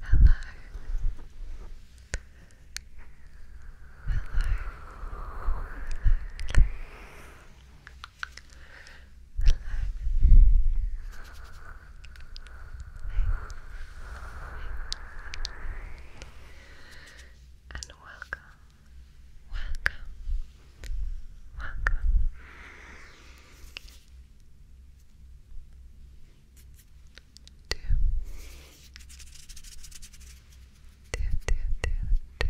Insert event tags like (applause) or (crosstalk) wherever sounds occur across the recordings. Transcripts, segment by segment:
Hello. Hello. Hello. And welcome, welcome, welcome do, do, do, do,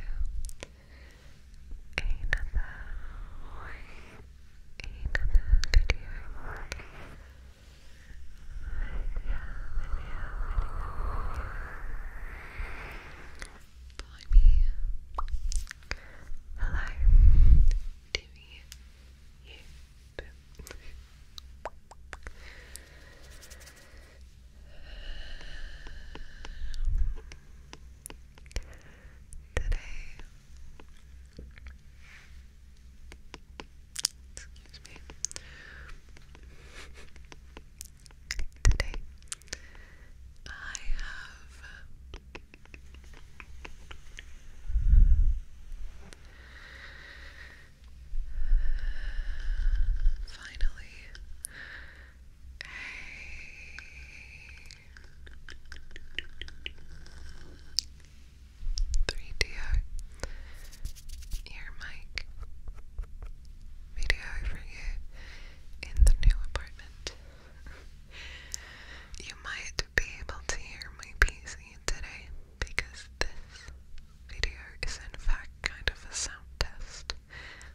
Another, another video. Video, video, video, me. Hello, Timmy. Yep. Today, excuse me. Today, I have Finally. Hey. Three D O ear mic video for you in the new apartment you might be able to hear my PC today because this video is in fact kind of a sound test,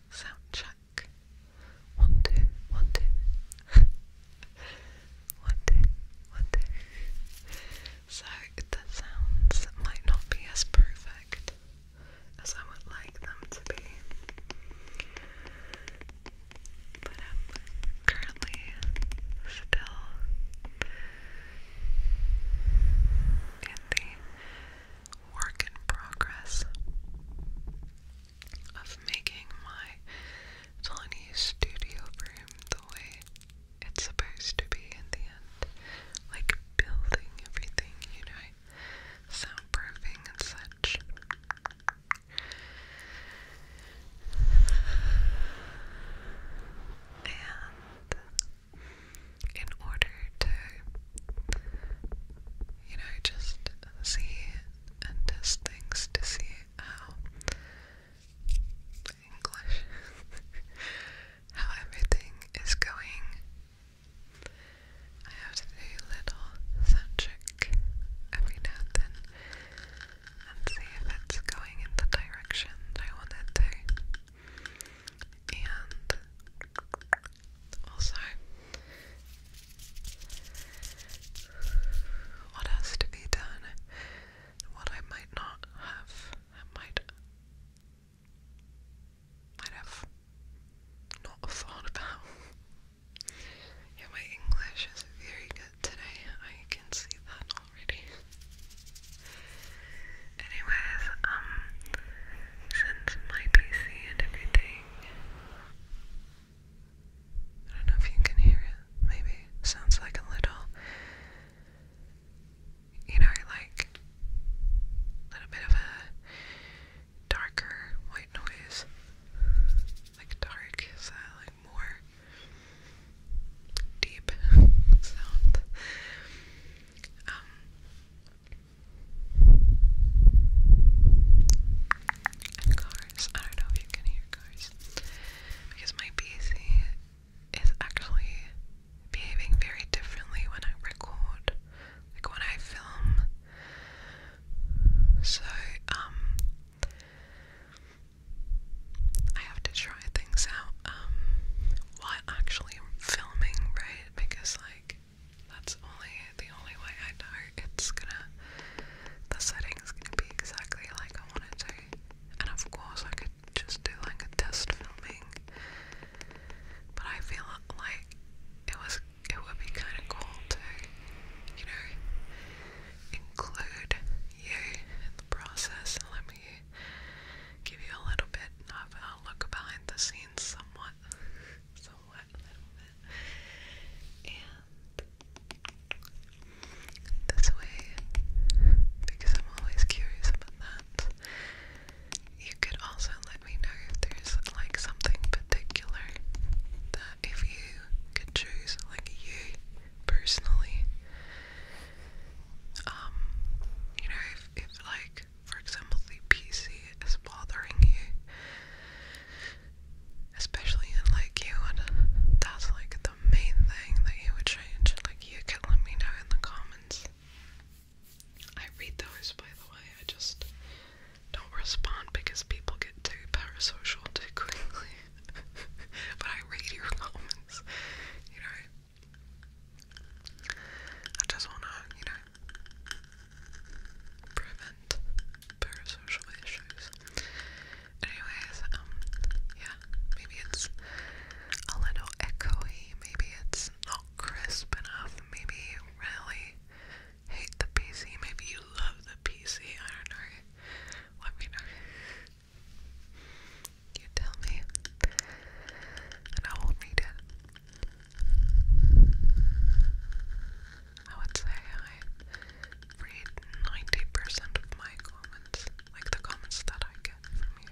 sound check. (laughs) One, two, one, two. So the sounds might not be as perfect as I would like them to be but I'm currently still in the work in progress of making my tiny studio room the way it's supposed to be in the end. Like building everything, you know, soundproofing and such. And in order to, you know, just see and test things to see how English, (laughs) how everything is going, I have to do little sound every now and then and see if it's going in the direction I want to. And also, what has to be done, what I might not have, might, might have not thought about. Yeah, my English is very good today. I can see that already. Anyways, um, since my PC and everything, I don't know if you can hear it, maybe. Sounds like a little, you know, like a little bit of a darker white noise like dark, is like more deep sound? Um cars. I don't know if you can hear cars. Because my PC is actually behaving very differently when I record. Like when I film so, um, I have to try things out, um, while actually filming, right? Because, like, that's only the only way I know it's gonna, the setting's gonna be exactly like I want to. And of course, I could just do like a test filming, but I feel like it was it would be kind of cool to, you know, include you in the process and let me give you a little bit of a look behind the scenes somewhat, somewhat, a little bit. And this way, because I'm always curious about that, you could also let me know if there's like something particular that if you could choose, like you personally, um, you know, if like, for example, the PC is bothering you, especially in like you, and that's like the main thing that you would change. Like, you can let me know in the comments. I read those, by the way. I just don't respond because people get too parasocial too quickly. (laughs) but I read your comments, you know. I just wanna, you know, prevent parasocial issues. Anyways, um, yeah, maybe it's a little echoey, maybe it's not crisp enough, maybe really hate the PC. Maybe you love the PC. I don't know. Let me know. You tell me, and I will read it. I would say I read 90% of my comments, like the comments that I get from you.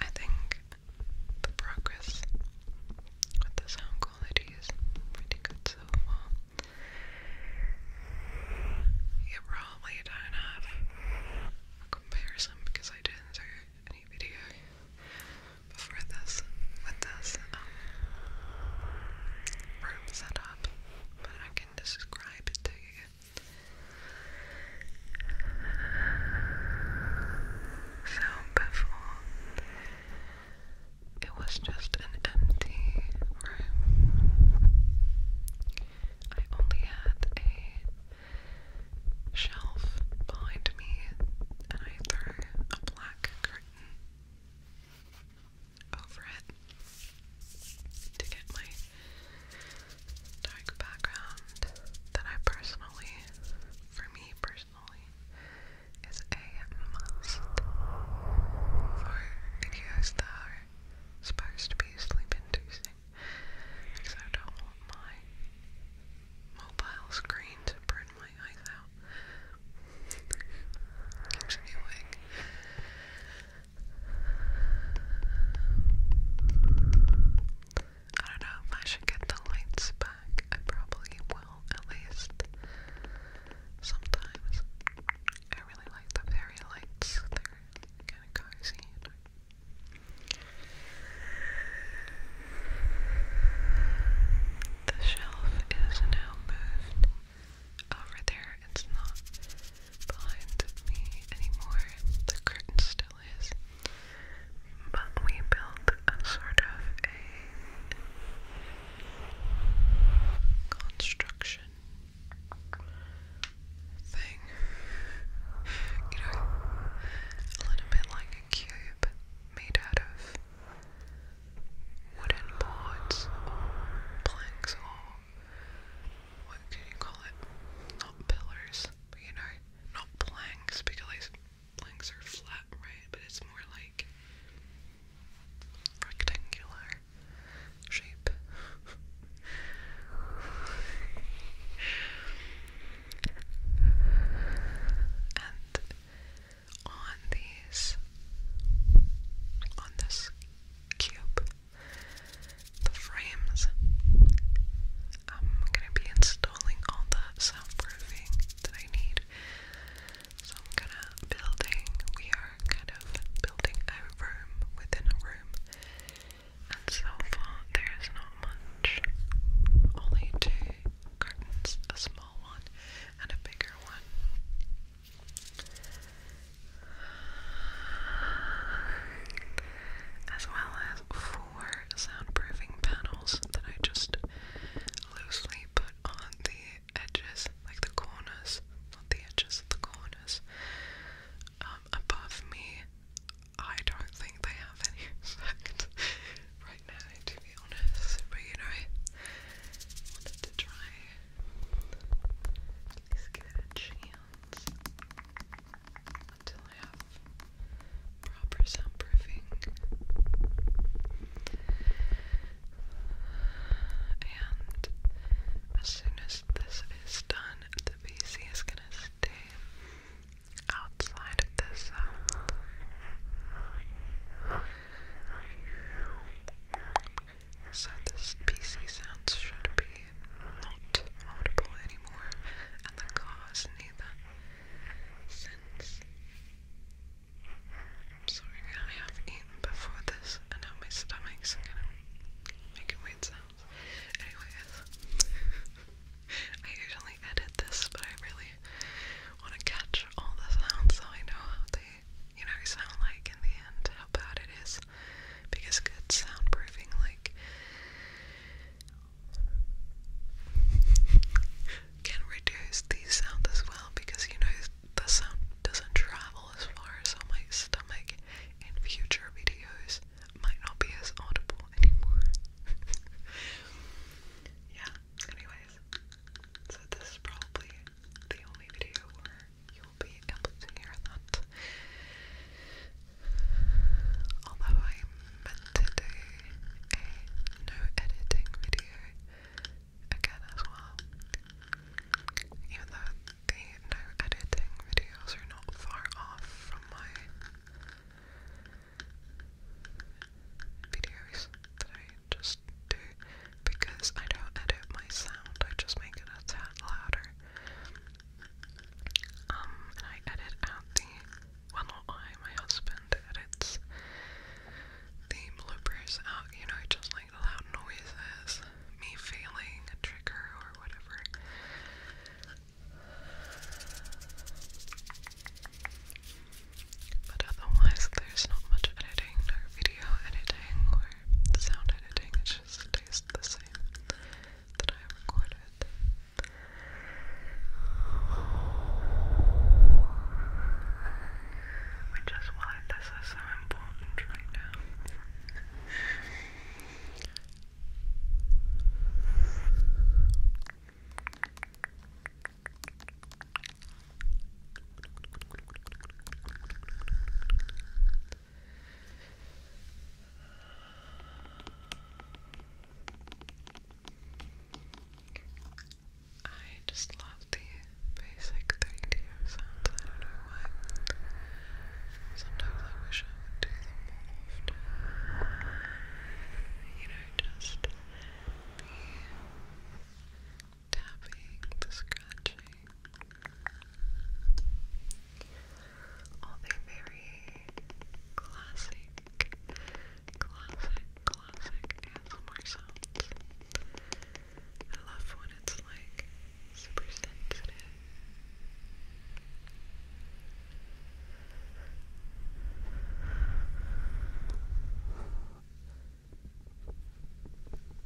I think the progress with the sound quality is pretty good so far. You probably don't have a comparison because I didn't do any video before this with this um, room setup, but I can describe it So before it was just an empty room. I only had a shelf behind me and I threw a black curtain over it to get my dark background that I personally, for me personally, is a must for videos that supposed to be sleep inducing because I don't want my mobile screen to burn my eyes out. Keeps me awake. I don't know if I should get the lights back. I probably will, at least. Sometimes. I really like the fairy lights, they're kind of cozy. The shelf is now moved over there. It's not behind me anymore. The curtain still is. But we built a sort of a construction thing. You know, a little bit like a cube made out of wooden boards or planks or what can you call it? Not pillars, but you know, not planks because planks are flat, right? But it's more like rectangular shape. and on these, on this cube. The frames. I'm gonna be installing all the soundproofing that I need. So I'm gonna building. We are kind of building a room within a room, and so far there is not much. Only two curtains, a small one and a bigger one as well as four soundproofing panels that I just loosely put on the edges, like the corners, not the edges, the corners, um, above me. I don't think they have any (laughs) effect right now, to be honest, but you know, wanted to try at least give it a chance until I have proper soundproofing. And as soon as this is done, the PC is gonna stay outside of this. Uh, so this PC sounds should be not audible anymore, and the cars neither, since I'm sorry I have eaten before this, and now my stomach's kind of making weird sounds. Anyways, (laughs) I usually edit this, but I really want to catch all the sounds so I know how they you know, sound like in the end, how bad it is. Because good soundproofing, like, can reduce the sound as well because, you know, the sound doesn't travel as far, so my stomach in future videos might not be as audible anymore. (laughs) yeah, anyways. So this probably the only video you'll be able to hear that. Although I meant to a no editing video again as well. Even though the no editing videos are not far off from my videos that I just do because I don't edit my sound, I just make it a tad louder. Um, I edit out the well, not I, my husband edits the bloopers out, you know, just like loud noises, me feeling a trigger or whatever. But otherwise, there's not much editing or video editing or sound editing, it just tastes the same that I recorded. Which is why this is so important right now. I just love the basic 3D sounds. I don't know why. Sometimes I wish I would do them more often. You know, just be tapping, the scratching, all the very classic, classic, classic ASMR sounds. I love when it's like super sensitive. Sensitive sounds.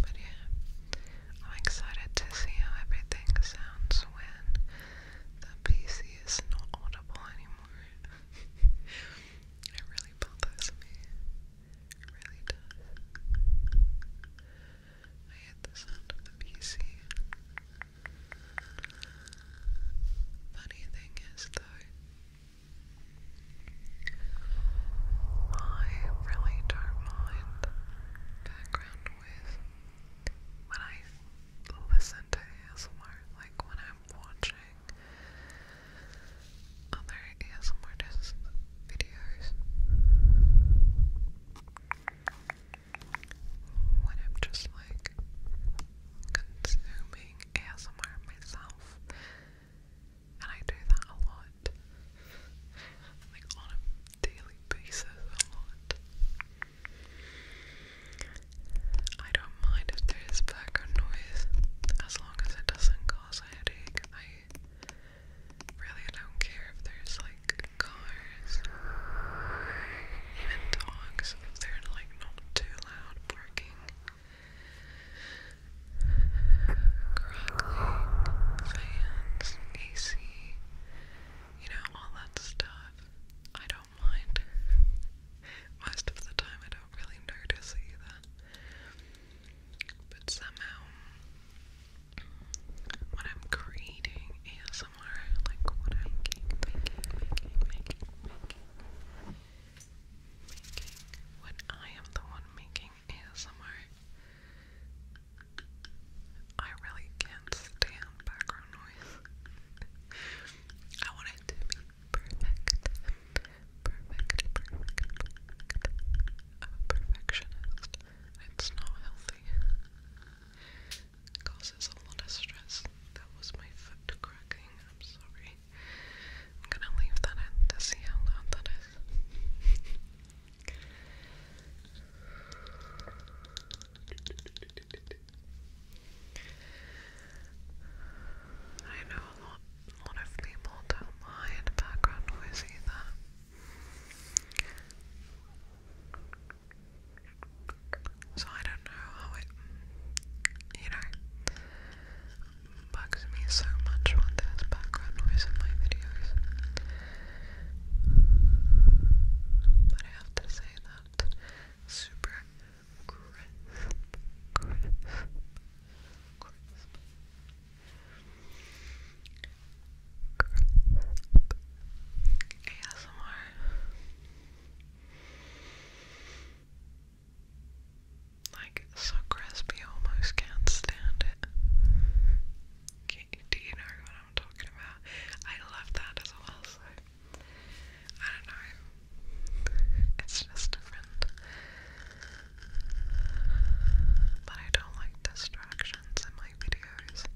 But yeah, I'm excited to see how everything sounds when the PC is not audible anymore. (laughs) it really bothers me. It really does. I hate the sound of the PC. Funny thing is, though, I really don't mind background noise when I listen to ASMR like when I'm watching other ASMR videos when I'm just like consuming ASMR myself and I do that a lot like on a daily basis a lot I don't mind if there is background noise as long as it doesn't cause a headache. I really don't care if there's like cars, even dogs, if they're like not too loud barking, crackling, fans, AC you know, all that stuff. I don't mind. (laughs) Most of the time, I don't really notice either. But somehow, when I'm creating ASMR, like when I'm making, making, making, making, making, when I am the one making ASMR, I really can't stand background noise. I want it to be perfect. Perfect, perfect, I'm a perfectionist. It's not healthy. causes a lot of stress. That was my foot cracking. I'm sorry. I'm gonna leave that in to see how loud that is. I know a lot, lot of people don't mind background noise either. So I don't know how it, you know, bugs me so much when there's background noise in my videos. But I have to say that super crisp, ASMR. Like so crispy, almost can't stand it. do you know I'm talking about. I love that as well, so I don't know. It's just different. But I don't like distractions in my videos.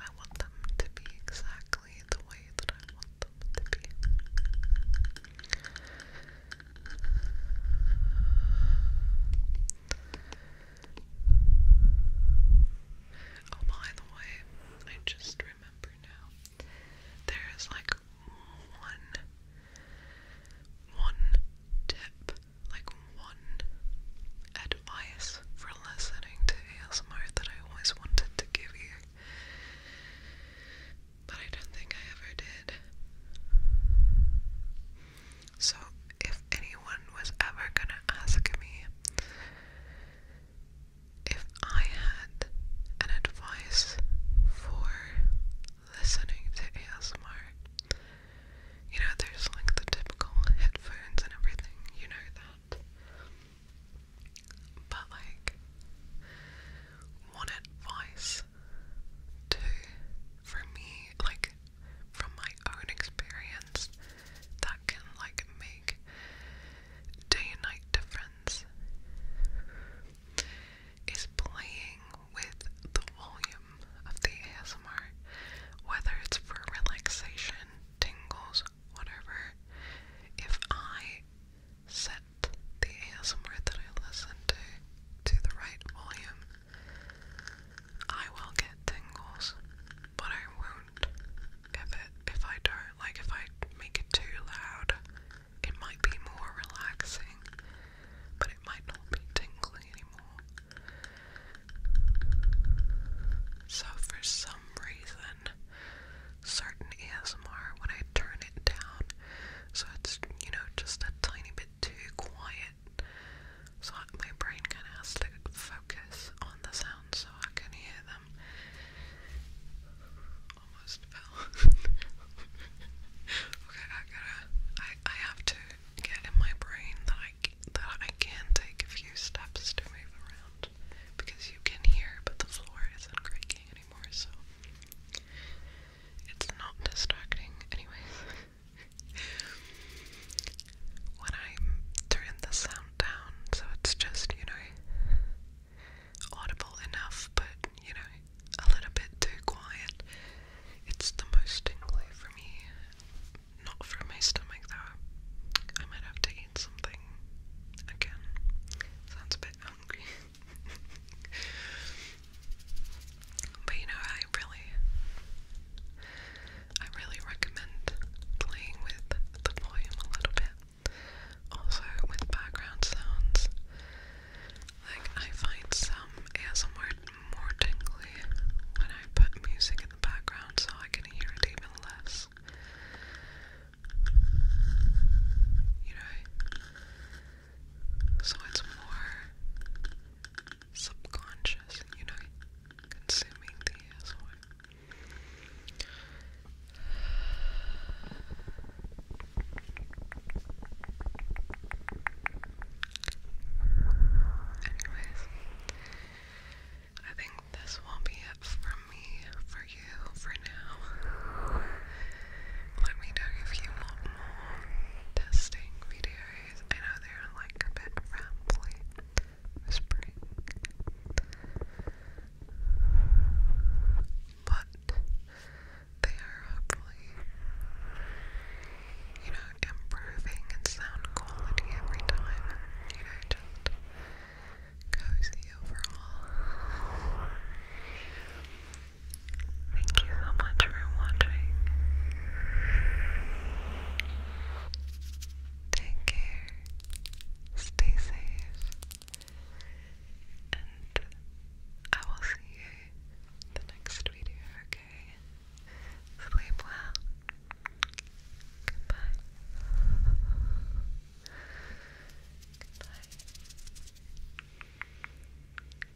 I want them to be exactly the way that I want them to be. Oh, by the way, I just remember now. There is like one, one tip, like one advice for listening to ASMR that I always wanted to give you, but I don't think I ever did. So, if anyone was ever gonna ask me if I had an advice for listening to ASMR, you know, there's like the typical headphones and everything, you know that. But, like, one advice to, for me, like, from my own experience that can like make day and night difference is playing with the volume of the ASMR, whether it's for relaxation, tingles, whatever. If I set the ASMR that I listen to to the right volume, I will get tingles, but I won't if it if I don't like if I make it too loud. It might be more relaxing, but it might not be tingling anymore. So for some reason, certain ASMR when I turn it down, so it's you know just a tiny bit too quiet, so my brain kind of has to focus on the sound so I can hear them. Almost fell. (laughs) okay, I gotta. I I have to get in my brain that I that I can take a few steps to move around because you can hear, but the floor isn't creaking anymore, so it's not distracting. Anyways. (laughs) when I turn the sound down so it's just, you know, audible enough but, you know, a little bit too quiet. It's the most tingly for me. Not from my stomach though. I might have to eat something again. Sounds a bit hungry. (laughs) But you know, I really, I really recommend playing with the volume a little bit. Also with background sounds. Like I find some ASMR more tingly when I put music in the background so I can hear it even less. You know? So it's more subconscious, you know, consuming the Anyways, I think this will be it from me for you for now. Let me know if you want more testing videos series. I know they're like a bit rambly, but they are hopefully, you know, improving in sound quality every time. You know, just cozy overall. Thank you so much for watching. Take care, stay safe, and I will see you the next video, okay? Sleep well. Goodbye. Goodbye.